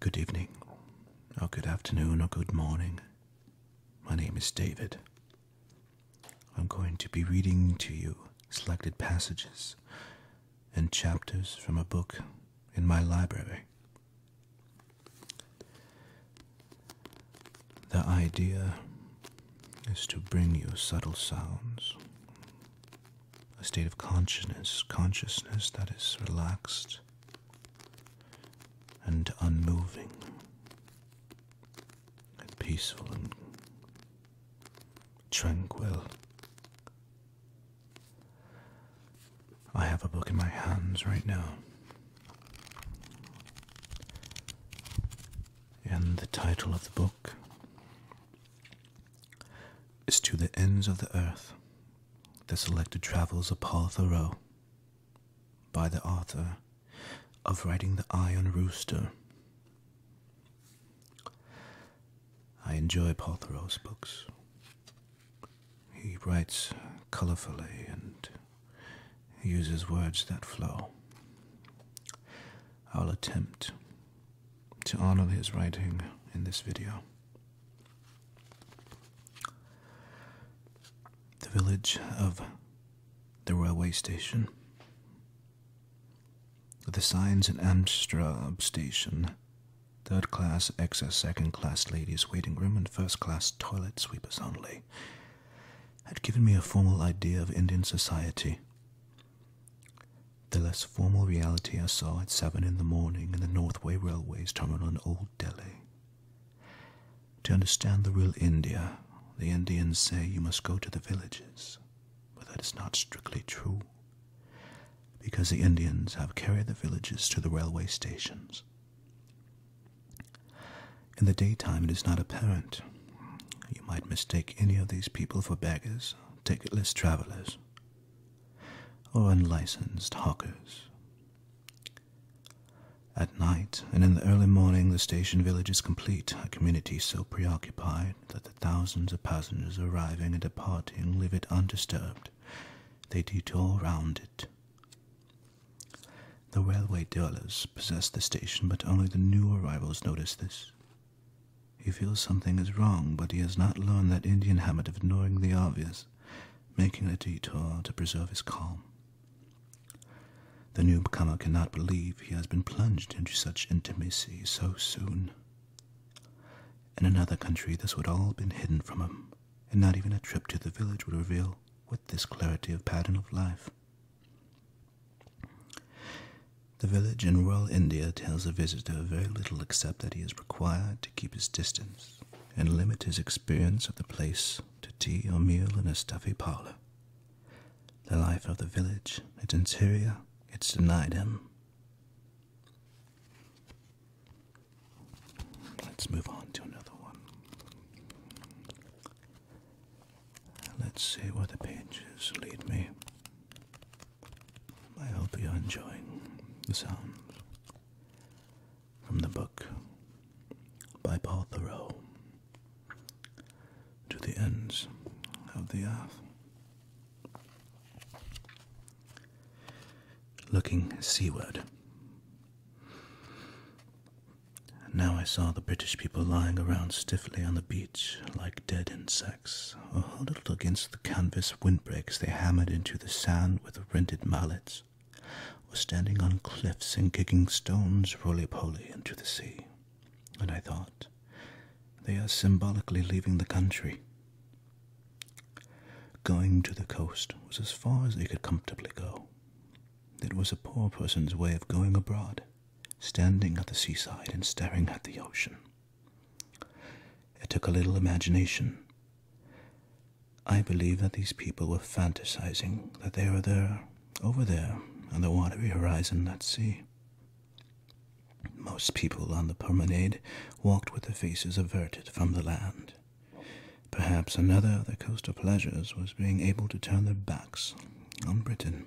Good evening, or good afternoon, or good morning. My name is David. I'm going to be reading to you selected passages and chapters from a book in my library. The idea is to bring you subtle sounds, a state of consciousness, consciousness that is relaxed and unmoving and peaceful and tranquil. I have a book in my hands right now. And the title of the book is to the ends of the earth. The selected travels of Paul Thoreau by the author of Writing the Iron Rooster. I enjoy Paul Thoreau's books. He writes colorfully and uses words that flow. I'll attempt to honor his writing in this video. The village of the railway station. The signs in Amstrad station. Third class excess, second class ladies' waiting room, and first class toilet sweepers only had given me a formal idea of Indian society the less formal reality I saw at seven in the morning in the North Way Railway's terminal in Old Delhi. To understand the real India, the Indians say you must go to the villages, but that is not strictly true, because the Indians have carried the villages to the railway stations. In the daytime, it is not apparent you might mistake any of these people for beggars, ticketless travelers, or unlicensed hawkers. At night and in the early morning, the station village is complete, a community so preoccupied that the thousands of passengers arriving and departing leave it undisturbed. They all round it. The railway dwellers possess the station, but only the new arrivals notice this. He feels something is wrong, but he has not learned that Indian habit of ignoring the obvious, making a detour to preserve his calm. The new comer cannot believe he has been plunged into such intimacy so soon. In another country, this would all have been hidden from him, and not even a trip to the village would reveal with this clarity of pattern of life. The village in rural India tells a visitor very little except that he is required to keep his distance and limit his experience of the place to tea or meal in a stuffy parlor. The life of the village, its interior, is denied him. Let's move on to another one. Let's see where the pages lead me. I hope you're enjoying the sound from the book by Paul to the ends of the earth. Looking seaward. Now I saw the British people lying around stiffly on the beach like dead insects, or huddled against the canvas windbreaks they hammered into the sand with rented mallets, or standing on cliffs and kicking stones roly-poly into the sea. And I thought, they are symbolically leaving the country. Going to the coast was as far as they could comfortably go. It was a poor person's way of going abroad standing at the seaside and staring at the ocean. It took a little imagination. I believe that these people were fantasizing that they were there, over there, on the watery horizon at sea. Most people on the promenade walked with their faces averted from the land. Perhaps another of their coastal pleasures was being able to turn their backs on Britain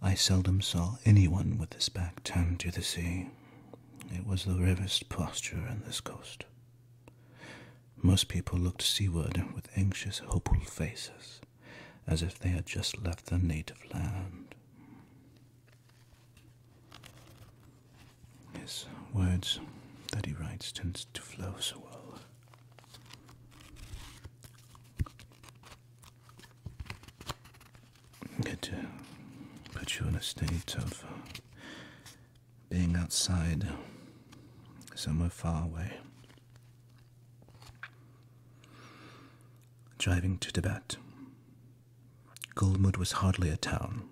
I seldom saw anyone with his back turned to the sea. It was the rarest posture on this coast. Most people looked seaward with anxious, hopeful faces, as if they had just left their native land. His words that he writes tend to flow so well. It to put you in a state of uh, being outside, somewhere far away. Driving to Tibet. Golmud was hardly a town.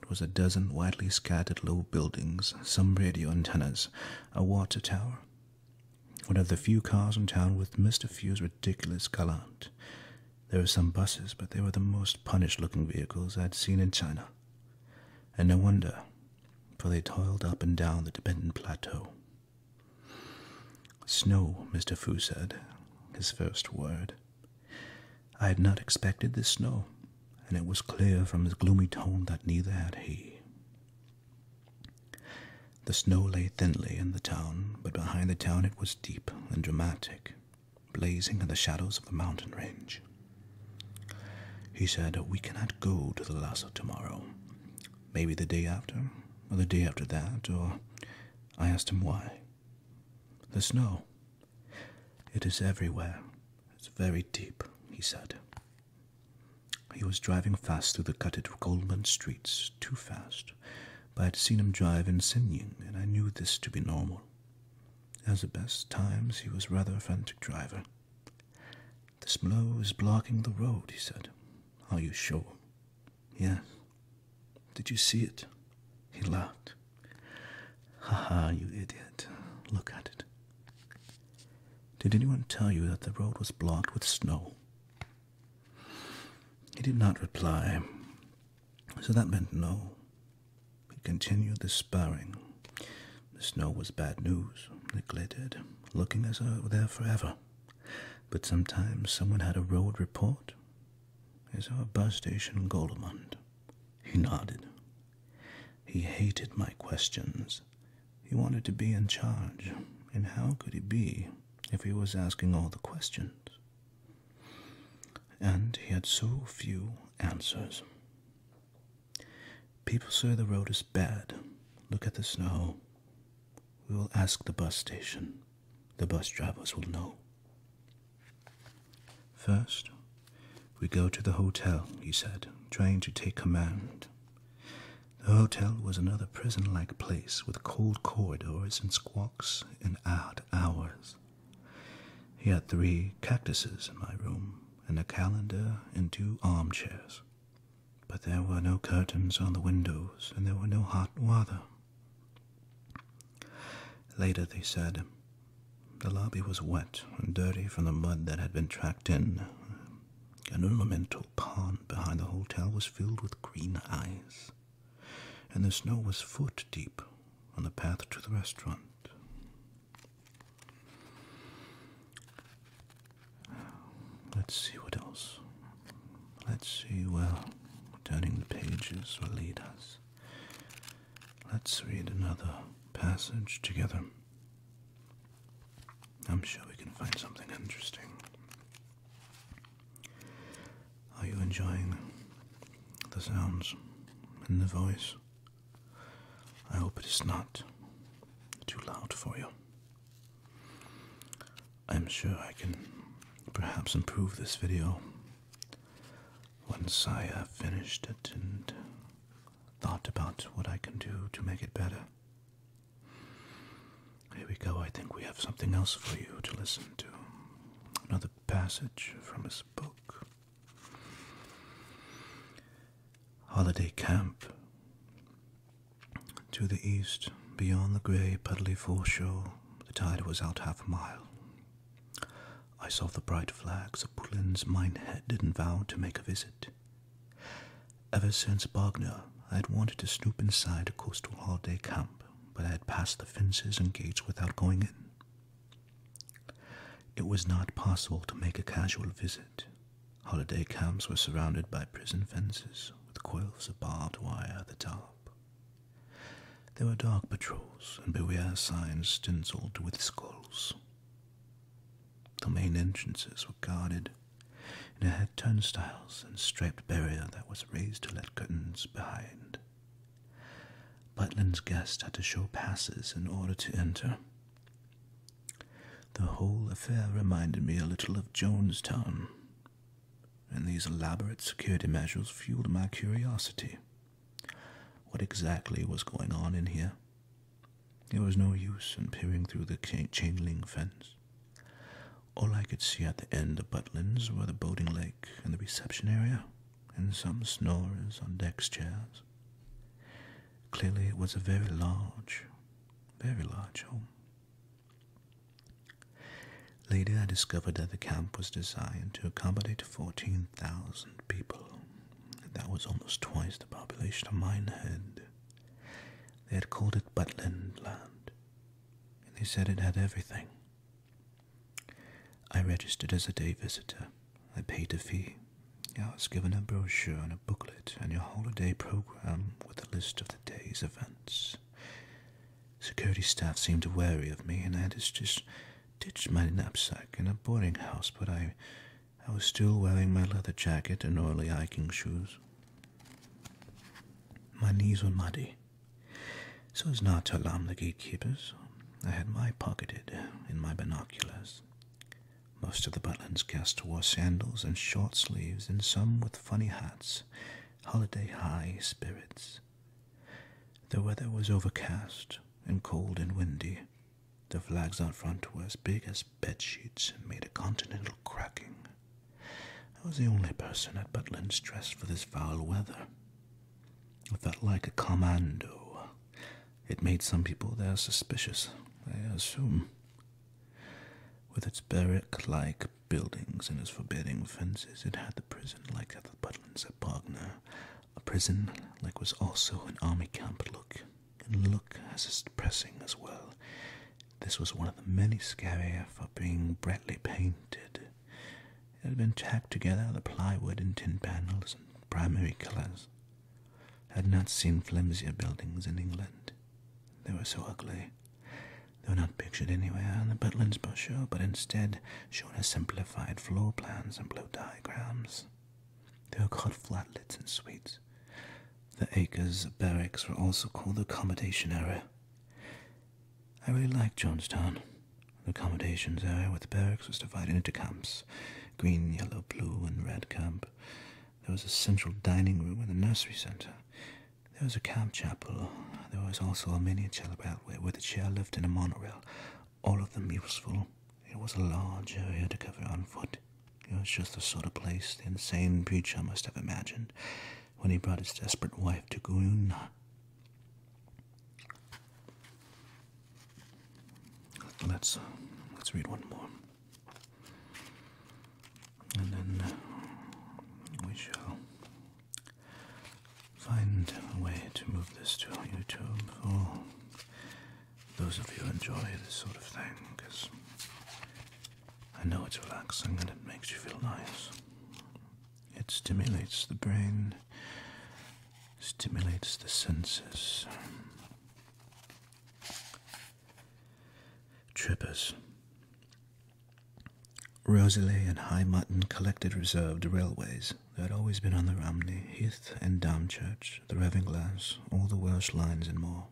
It was a dozen widely scattered low buildings, some radio antennas, a water tower, one of the few cars in town with Mr. Fu's ridiculous gallant. There were some buses, but they were the most punished looking vehicles i had seen in China. And no wonder, for they toiled up and down the dependent plateau. Snow, Mr. Fu said, his first word. I had not expected this snow, and it was clear from his gloomy tone that neither had he. The snow lay thinly in the town, but behind the town it was deep and dramatic, blazing in the shadows of the mountain range. He said, We cannot go to the lasso tomorrow. Maybe the day after, or the day after that, or. I asked him why. The snow. It is everywhere. It's very deep, he said. He was driving fast through the gutted Goldman streets, too fast, but I had seen him drive in Sinning, and I knew this to be normal. As at best times, he was rather a frantic driver. This blow is blocking the road, he said. Are you sure? Yes. Did you see it? He laughed. Ha ha, you idiot. Look at it. Did anyone tell you that the road was blocked with snow? He did not reply, so that meant no. He continued the sparring. The snow was bad news. It glittered, looking as though it were there forever. But sometimes someone had a road report. Is our bus station Golemund? He nodded. He hated my questions. He wanted to be in charge, and how could he be if he was asking all the questions? And he had so few answers. People say the road is bad. Look at the snow. We will ask the bus station. The bus drivers will know. First, we go to the hotel, he said, trying to take command the hotel was another prison like place with cold corridors and squawks in odd hours. He had three cactuses in my room, and a calendar and two armchairs. But there were no curtains on the windows, and there was no hot water. Later, they said, the lobby was wet and dirty from the mud that had been tracked in. An ornamental the pond behind the hotel was filled with green eyes, and the snow was foot deep on the path to the restaurant. Let's see what else. Let's see where turning the pages will lead us. Let's read another passage together. I'm sure we can find something interesting. Are you enjoying the sounds and the voice? I hope it is not too loud for you. I'm sure I can perhaps improve this video once I have finished it and thought about what I can do to make it better. Here we go. I think we have something else for you to listen to. Another passage from his book. Holiday Camp. To the east, beyond the grey, puddly foreshore, the tide was out half a mile. I saw the bright flags of Poulin's Minehead didn't vow to make a visit. Ever since Wagner, I had wanted to snoop inside a coastal holiday camp, but I had passed the fences and gates without going in. It was not possible to make a casual visit. Holiday camps were surrounded by prison fences with coils of barbed wire at the top. There were dark patrols and beware signs stenciled with skulls. The main entrances were guarded, and it had turnstiles and a striped barrier that was raised to let curtains behind. Butlin's guests had to show passes in order to enter. The whole affair reminded me a little of Jonestown, and these elaborate security measures fueled my curiosity. What exactly was going on in here? It was no use in peering through the chain link fence. All I could see at the end of Butlins were the boating lake and the reception area, and some snorers on deck chairs. Clearly, it was a very large, very large home. Later, I discovered that the camp was designed to accommodate 14,000 people. That was almost twice the population of Minehead, they had called it Butland Land, and they said it had everything. I registered as a day visitor. I paid a fee. I was given a brochure and a booklet and your holiday program with a list of the day's events. Security staff seemed wary of me, and I just ditched my knapsack in a boarding house, but I, I was still wearing my leather jacket and oily hiking shoes. My knees were muddy, so as not to alarm the gatekeepers. I had my pocketed in my binoculars. Most of the Butlins' guests wore sandals and short sleeves, and some with funny hats, holiday high spirits. The weather was overcast and cold and windy. The flags out front were as big as bed sheets and made a continental cracking. I was the only person at Butlin's dressed for this foul weather. I felt like a commando. It made some people there suspicious, I assume. With its barrack-like buildings and its forbidding fences, it had the prison like at the Butlins at Bognor, a prison like was also an army camp look. And look as depressing as well. This was one of the many scarier for being brightly painted. It had been tacked together of plywood and tin panels in primary colours. had not seen flimsier buildings in England. They were so ugly. They were not pictured anywhere in the Butlins brochure, but instead shown as simplified floor plans and blow diagrams. They were called flatlets and suites. The Acres of barracks were also called the accommodation area. I really liked Jonestown. The accommodation area with the barracks was divided into camps green, yellow, blue, and red camp. There was a central dining room and a nursery center. There was a camp chapel. There was also a miniature railway with a chairlift and a monorail, all of them useful. It was a large area to cover on foot. It was just the sort of place the insane preacher must have imagined when he brought his desperate wife to Guyuna. Let's let's read one more, and then uh, we shall find a way to move this to YouTube for those of you who enjoy this sort of thing, because I know it's relaxing and it makes you feel nice. It stimulates the brain, stimulates the senses. Trippers. Rosalie and High Mutton collected reserved railways. There had always been on the Romney, Heath and Dam the Ravenglass, all the Welsh lines and more.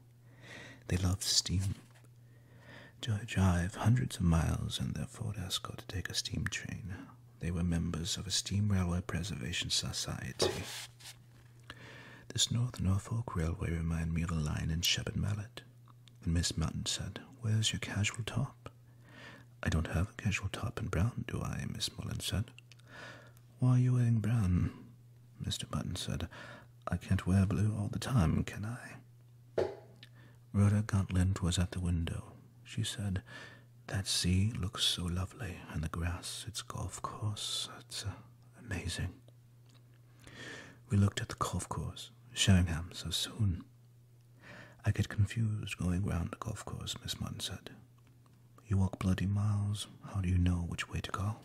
They loved steam. To drive hundreds of miles in their Ford Escort to take a steam train. They were members of a steam railway preservation society. This North Norfolk Railway reminded me of a line in Shepherd Mallet. And Miss Mountain said, Where's your casual top? I don't have a casual top in brown, do I? Miss Mullen said. Why are you wearing brown? Mr. Button said, I can't wear blue all the time, can I? Rhoda Gauntlet was at the window. She said, That sea looks so lovely, and the grass, its golf course, it's uh, amazing. We looked at the golf course. showing Sheringham so soon. I get confused going round the golf course, Miss Munn said. You walk bloody miles. How do you know which way to go?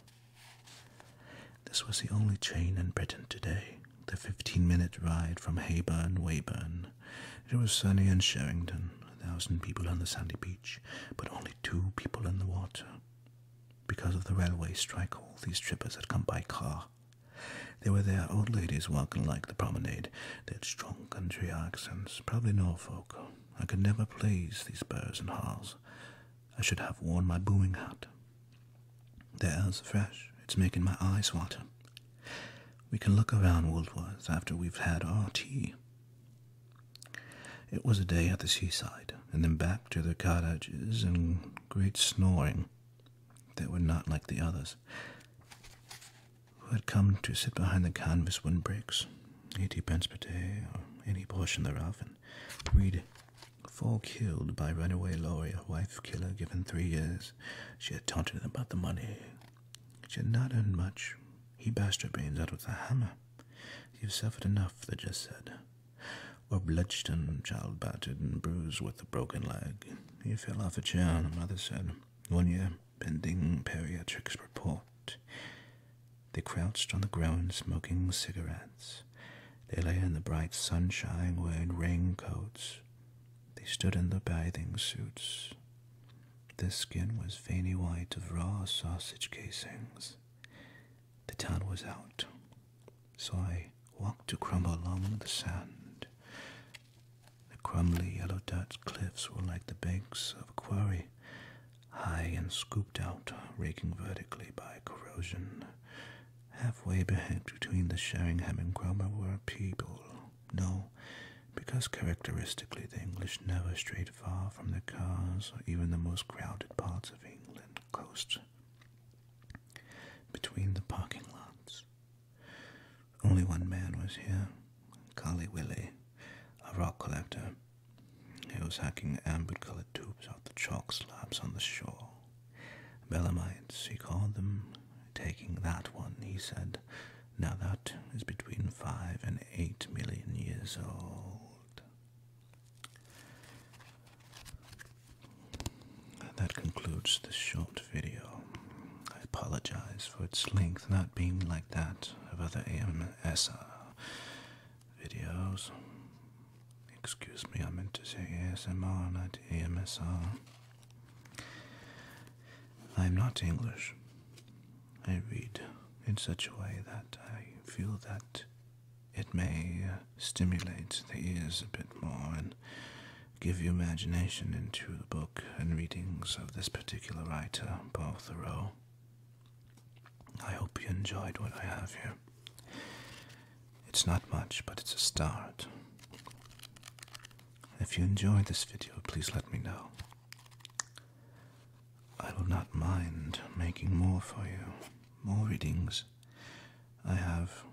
This was the only train in Britain today, the fifteen minute ride from Heyburn, Weyburn. It was sunny in Sherrington, a thousand people on the sandy beach, but only two people in the water. Because of the railway strike, all these trippers had come by car. They were there, old ladies walking like the promenade. They had strong country accents, probably Norfolk. I could never please these burrs and harls. I should have worn my booming hat. The air's fresh, it's making my eyes water. We can look around Woolworth after we've had our tea. It was a day at the seaside, and then back to the cottages and great snoring. They were not like the others, who had come to sit behind the canvas windbreaks, eighty pence per day, or any portion thereof, and Read Four killed by runaway lawyer, wife killer given three years. She had taunted him about the money. She had not earned much. He bashed her brains out with a hammer. You've suffered enough, the judge said. Or bloodston, child battered and bruised with a broken leg. He fell off a chair, the mother said. One year, pending periatrics report. They crouched on the ground smoking cigarettes. They lay in the bright sunshine wearing raincoats. They stood in their bathing suits. Their skin was veiny white of raw sausage casings. The town was out, so I walked to crumble along the sand. The crumbly yellow dirt cliffs were like the banks of a quarry high and scooped out, raking vertically by corrosion. Halfway between the Sheringham and Cromer were people. No, because characteristically the English never stray far from their cars or even the most crowded parts of England coast. Between the parking lots. Only one man was here, Collie Willie, a rock collector, he was hacking amber-colored tubes out the chalk slabs on the shore. Belamites, he called them. Taking that one, he said. Now that is between five and eight million years old. That concludes this short video. I apologize for its length not being like that of other AMSR videos. Excuse me, I meant to say S.M.R. not AMSR. I'm not English. I read in such a way that I feel that it may uh, stimulate the ears a bit more and give you imagination into the book and readings of this particular writer, Paul Thoreau. I hope you enjoyed what I have here. It's not much, but it's a start. If you enjoyed this video, please let me know. I will not mind making more for you, more readings. I have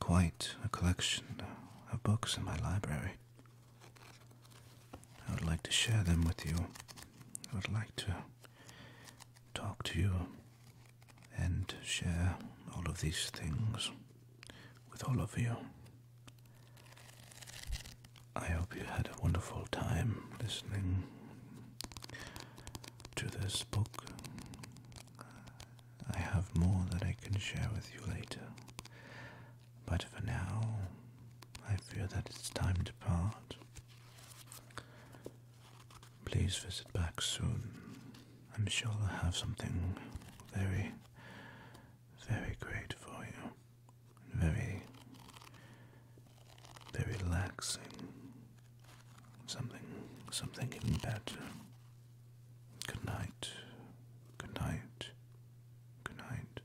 quite a collection of books in my library. I would like to share them with you. I would like to talk to you and share all of these things with all of you. I hope you had a wonderful time listening to this book. I have more that I can share with you later, but for now, I fear that it's time to part. Please visit back soon. I'm sure I'll have something very, very great for you. Very, very relaxing. Something, something even better. Good night. Good night. Good night.